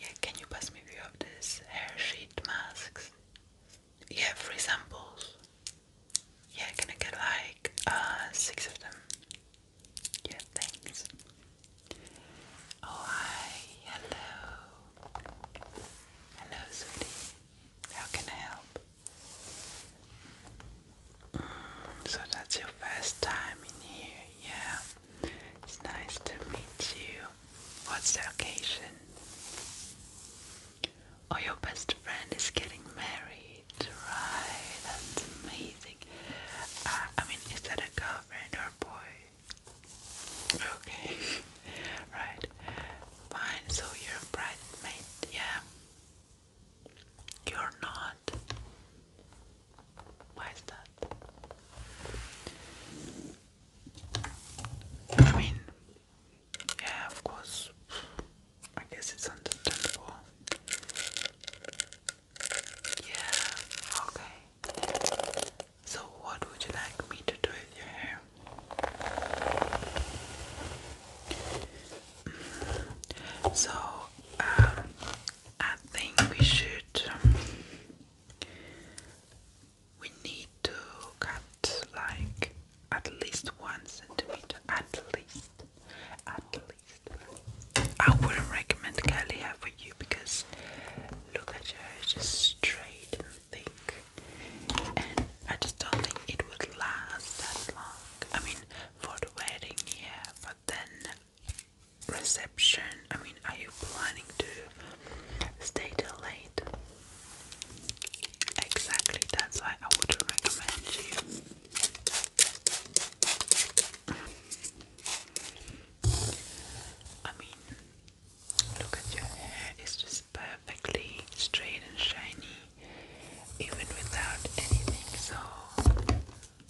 Yeah, can you pass me a few of these hair sheet masks? Yeah, free samples. Yeah, can I get like uh, six of them? Yeah, thanks. Oh hi, hello. Hello sweetie. How can I help? Mm, so that's your first time in here, yeah. It's nice to meet you. What's the occasion? Oh, your best friend is getting married, right? That's amazing. Uh, I mean, is that a girlfriend or boy? Okay, right. Fine, so you're a bridesmaid, yeah? You're not. Why is that? I mean, yeah, of course. I guess it's understandable. Yeah, okay. So, what would you like me to do with your hair? So, um, I think we should we need to cut like at least one centimeter at least at least I wouldn't recommend curly hair for you because look at your hair just straight and thick and I just don't think it would last that long I mean for the wedding yeah but then reception? I mean, are you planning to stay till late? Exactly, that's why I would recommend you. I mean, look at your hair, it's just perfectly straight and shiny, even without anything. So,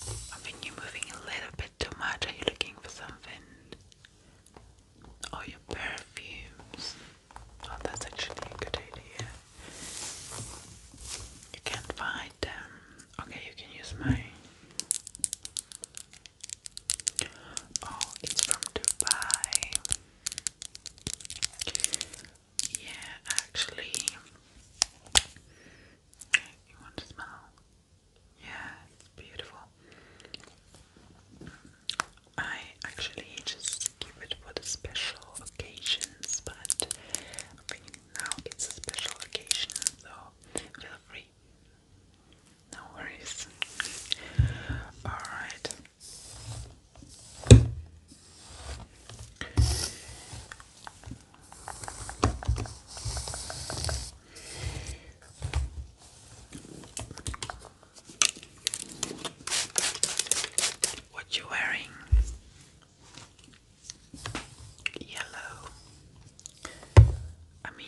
I think you're moving a little bit too much. Are you looking for something? Oh, your perfumes. Oh, that's actually a good idea. You can't find them. Okay, you can use my. Oh, it's from Dubai. Yeah, actually. You want to smell? Yeah, it's beautiful. I actually just keep it for the special occasions, but now it's a special occasion, so feel free. No worries. Alright. What you wearing? Yellow. I mean,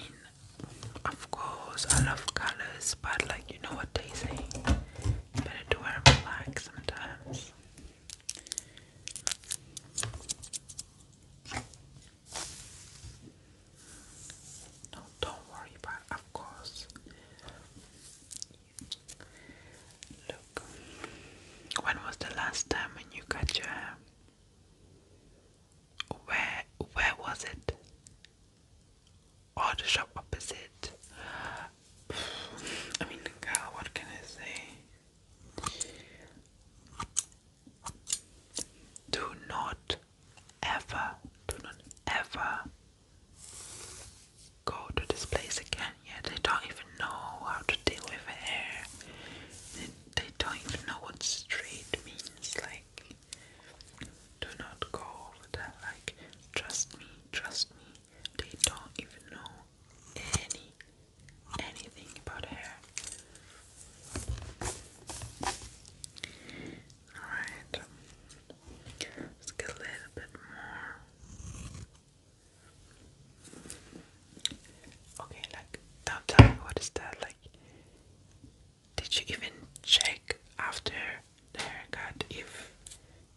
of course, I love colors, but like you know what they say, better to wear black sometimes. No, don't worry about of course. Look, when was the last time when you cut your hair? Where, where was it? Or shop opposite? I mean, girl, what can I say? Do not ever, do not ever go to this place again. Yeah, they don't even know how to deal with hair. They, they don't even know what straight means. Like, do not go over there. Like, trust me, trust me. They don't even know any anything about hair. Alright, let's get a little bit more. Okay, like, now tell me what is that? Like, did you even check after the haircut if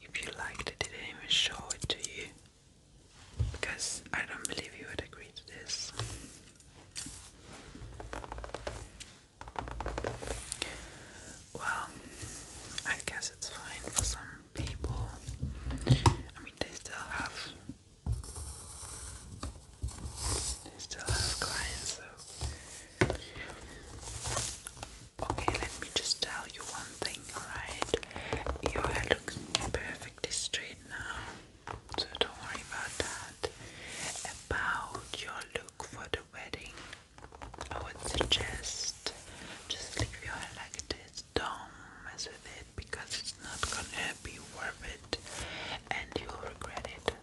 if you liked it? They didn't even show it to you because I don't believe you would agree to this. Well, I guess it's fine for some people. I mean, they still have, they still have clients. So, okay, let me just tell you one thing, alright? Your hair looks perfectly straight now so don't worry about that. About your look for the wedding, I would suggest just leave your hair like this. Don't mess with it because it's not gonna be worth it, and you'll regret it.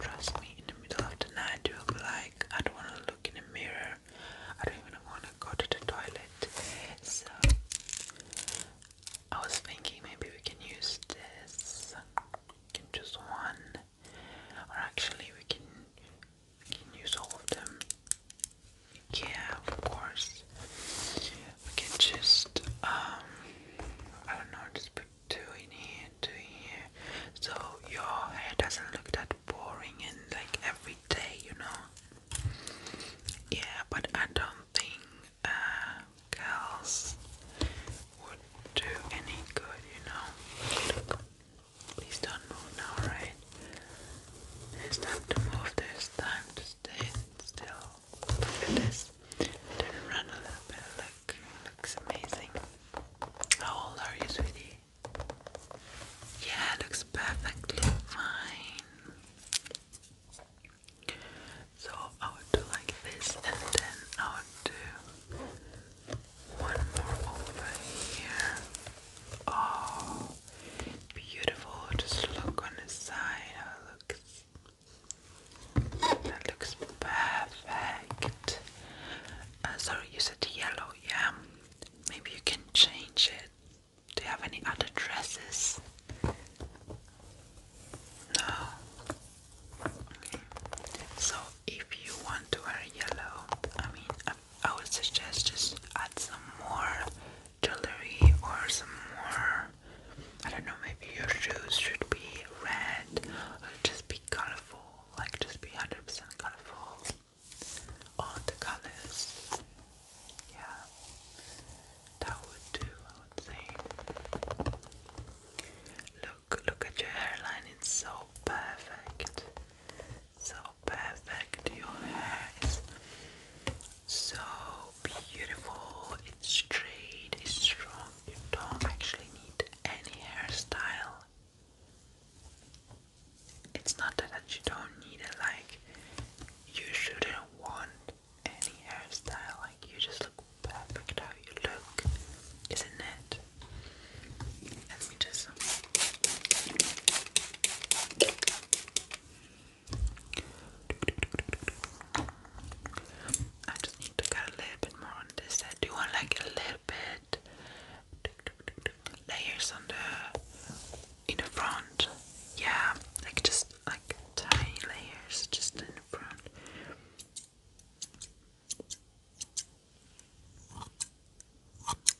Trust me. In the middle of the night, you'll be like, I don't wanna look in the mirror. I don't even wanna go to the toilet. So I was thinking maybe we can use this. can choose one, or actually we can we can use all of them. Yeah, of course. We can just um, I don't know, just put two in here, two here, so your hair doesn't look that boring and like every day, you know. Yeah, but I don't think uh, girls would do any good, you know. please don't move now, right? It's time to move. There's time to stay still. Look at this. Then run a little bit. Look, looks amazing. How old are you, sweetie? Yeah, looks perfectly fine. So I would do like this and then I would do one more over here. Oh beautiful. Just look on the side it looks. That looks perfect. Uh, sorry, you said yellow, yeah? Maybe you can change it. Do you have any other dresses? No. Okay. So if you want to wear yellow, I mean, um, I, would suggest just add some more jewelry or some more. I don't know. Maybe your shoes should be red uh, just be colorful. Like just be hundred percent colorful. All the colors. Yeah that would do, I would say. Look, look at your hairline, it's so perfect. So perfect. Your hair is so beautiful, it's straight, it's strong. You don't actually need any hairstyle. It's not that you don't need it, like, you shouldn't want any hairstyle. Like you just look perfect how you look, isn't it? I just need to get a little bit more on this Do you want like a little bit layers on the in the front? Yeah, like just like tiny layers just in the front. Okay.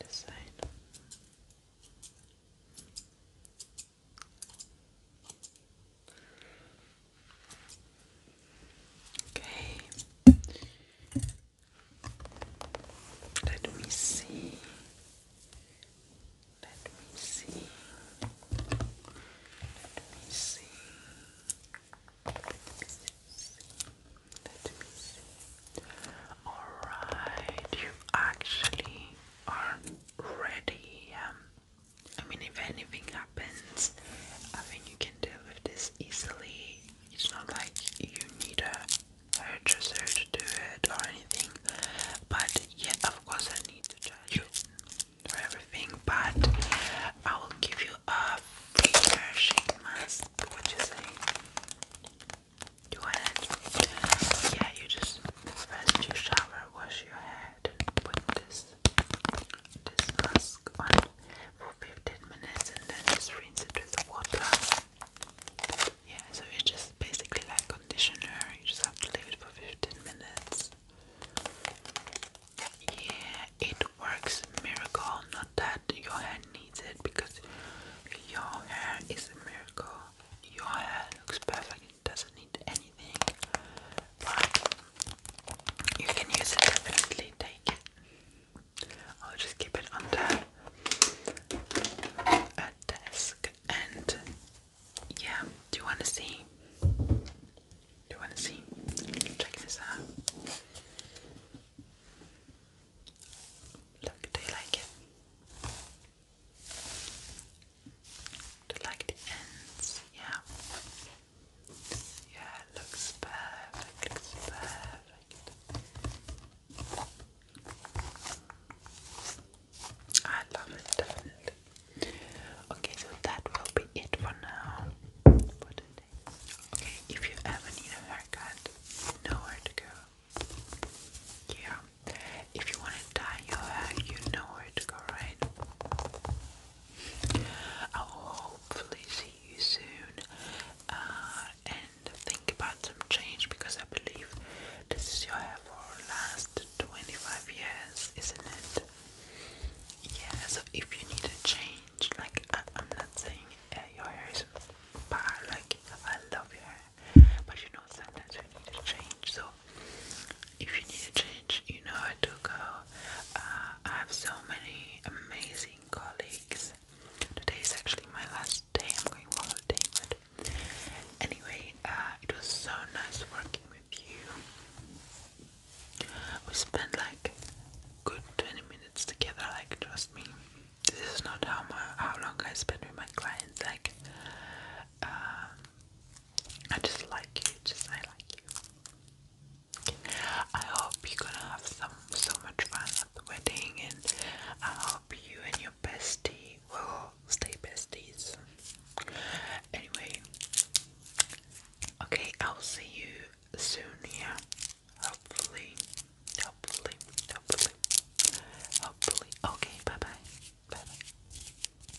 This side. Okay. Let me see. Let me see. Let me see. Let me see. Let me see. Alright, you actually are ready. Um, I mean, if anything happens, I think you can deal with this easily. It's not like you need a I just urge to do it or anything. But yeah, of course, I need to charge you for everything. But I will give you a free nourishing mask. What you say? Do you want it? Yeah, you just first you shower, wash your head, and put this this mask on for 15 minutes, and then just rinse it with water. Yeah, so it's just basically like conditioner, you just have to leave it for 15 minutes. Yeah, it works miracle, not that your hair needs it because your hair is a miracle. Your hair looks perfect, it doesn't need anything. But you can use it definitely, take it. I'll just keep it on there a desk and yeah, do you wanna see? Do you wanna see? Check this out. Look, do you like it? Do you like the ends? Yeah. Yeah, looks perfect, perfect. I love it, definitely. Okay, so that will be it for now. Okay, if you ever need a haircut, know where to go. Yeah. If you want to dye your hair, you know where to go, right? I will hopefully see you soon. Uh, think about some change because I believe this is your hair for last 25 years, isn't it? Yeah, so if you need a change, like I, am not saying uh, your hair is bad, like I love your hair, but you know, sometimes you need a change. So if you need a change, you know where to go. Uh, I have so many amazing colleagues Today is actually my last day. I'm going on holiday, but anyway, uh, it was so nice working with you. We spent like good 20 minutes together. Like, trust me, this is not how my how long I spend with my clients. Like, um, I just like you. Just I like you. I hope you're gonna have some so much fun the wedding, and I hope you and your bestie will stay besties. Anyway, okay, I'll see you soon. Yeah, hopefully, hopefully, hopefully, hopefully. Okay, bye bye, bye bye.